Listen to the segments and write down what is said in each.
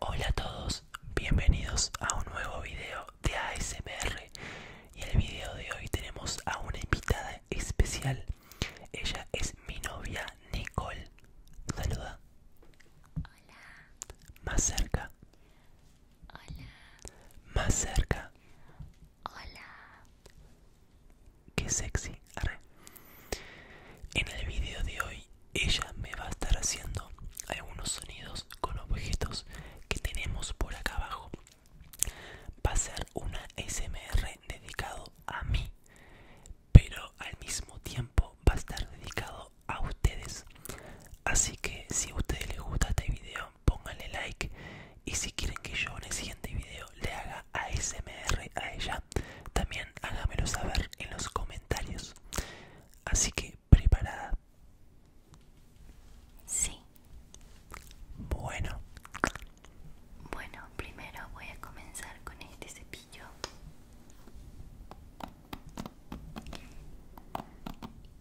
Hola a todos, bienvenidos a un nuevo video de ASMR y en el video de hoy tenemos a una invitada especial. Ella es mi novia Nicole. Saluda. Hola. Más cerca. Hola. Más cerca. Hola. Qué sexy. En el video de hoy ella me va a estar haciendo algunos sonidos con objetos que tenemos por acá abajo va a ser una smr dedicado a mí pero al mismo tiempo va a estar dedicado a ustedes así que si a ustedes les gusta este video pónganle like y si quieren que yo en el siguiente video le haga ASMR a ella también hágamelo saber en los comentarios. Así que, ¿preparada? Sí. Bueno. Bueno, primero voy a comenzar con este cepillo.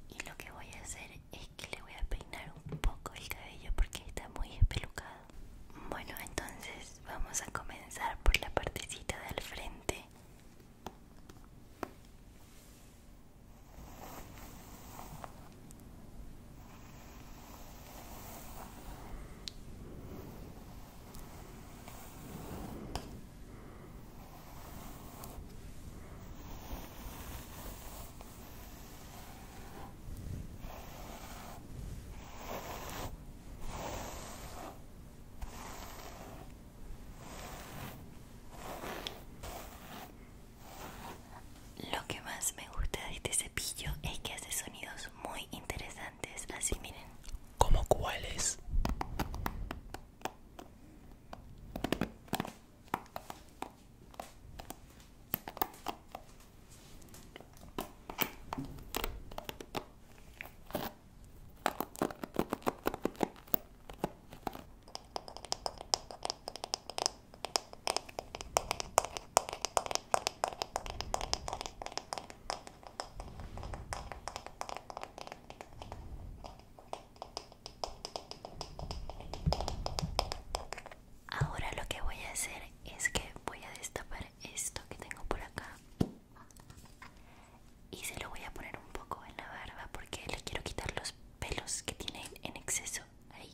Y lo que voy a hacer es que le voy a peinar un poco el cabello porque está muy espelucado. Bueno, entonces vamos a comenzar por la partecita del frente. Lo que más me gusta de este cepillo es que hace sonidos muy interesantes, así miren. ¿Cómo cuáles? Ahora lo que voy a hacer es que voy a destapar esto que tengo por acá y se lo voy a poner un poco en la barba porque le quiero quitar los pelos que tiene en exceso ahí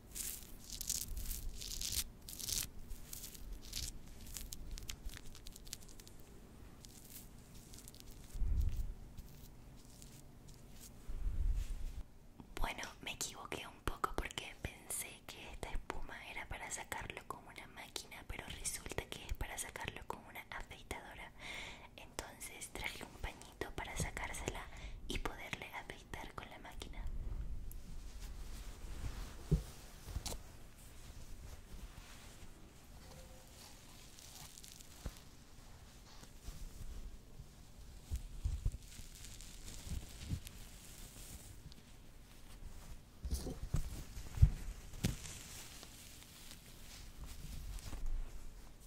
Bueno, me equivoqué un poco porque pensé que esta espuma era para sacarlo con una máquina, pero resulta que es para sacarlo con una afeitadora. Entonces traje un pañito para sacársela y poderle afeitar con la máquina.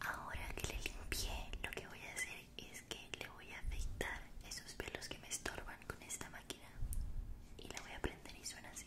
Ahora que le limpié, lo que voy a hacer es que le voy a afeitar esos pelos que me estorban con esta máquina y la voy a prender y suena así.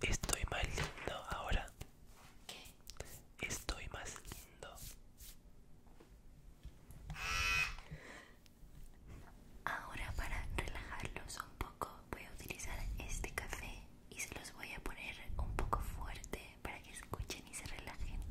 Estoy mal, lindo ahora. Estoy más lindo. Ahora para relajarlos un poco voy a utilizar este café y se los voy a poner un poco fuerte para que escuchen y se relajen.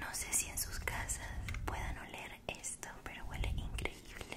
No sé si en sus casas puedan oler esto, pero huele increíble.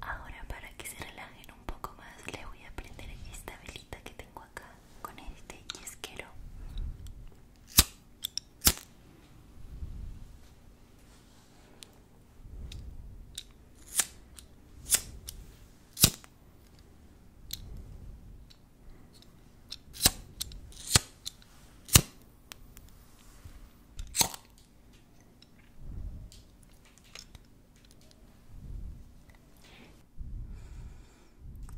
Ahora para que se relajen un poco más le voy a prender esta velita que tengo acá con este yesquero.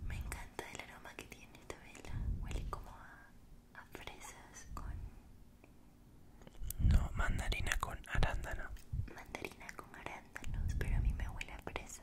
Me encanta el aroma que tiene esta vela. Huele como a, fresas con... No, mandarina con arándano. Mandarina con arándano pero a mí me huele a presa.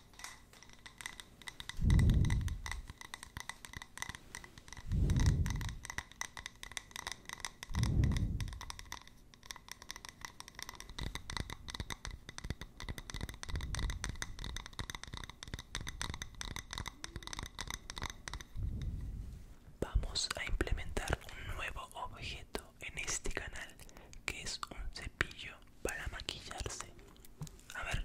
Vamos a implementar un nuevo objeto en este canal que es un cepillo para maquillarse. A ver.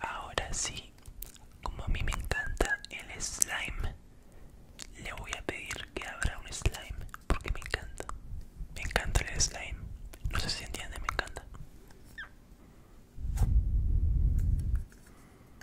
Ahora sí, como a mí me encanta el slime, le voy a pedir que abra un slime porque me encanta. Me encanta el slime. No sé si entiende, me encanta.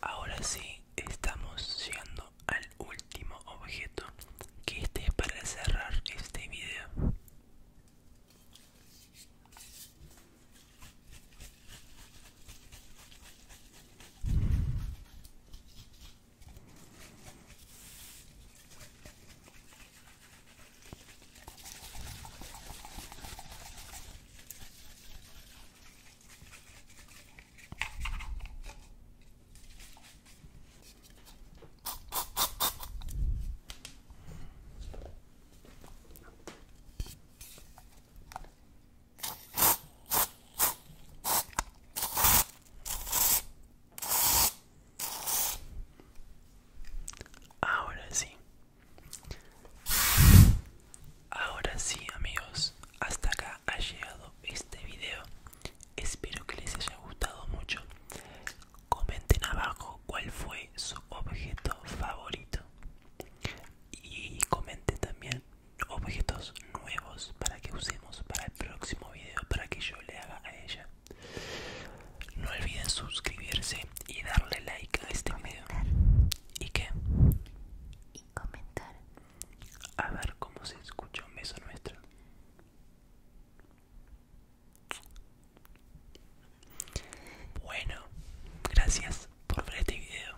Ahora sí, estamos llegando al último objeto que este es para cerrar este video Ahora sí. Ahora sí amigos, hasta acá ha llegado este video. Espero que les haya gustado mucho. Comenten abajo cuál fue su objeto favorito. Y comenten también objetos nuevos para que usemos para el próximo video, para que yo le haga a ella. No olviden suscribirse y darle like a este video. ¿Y que Y comentar. A ver cómo se escucha un beso nuestro. Bueno, gracias por ver este video.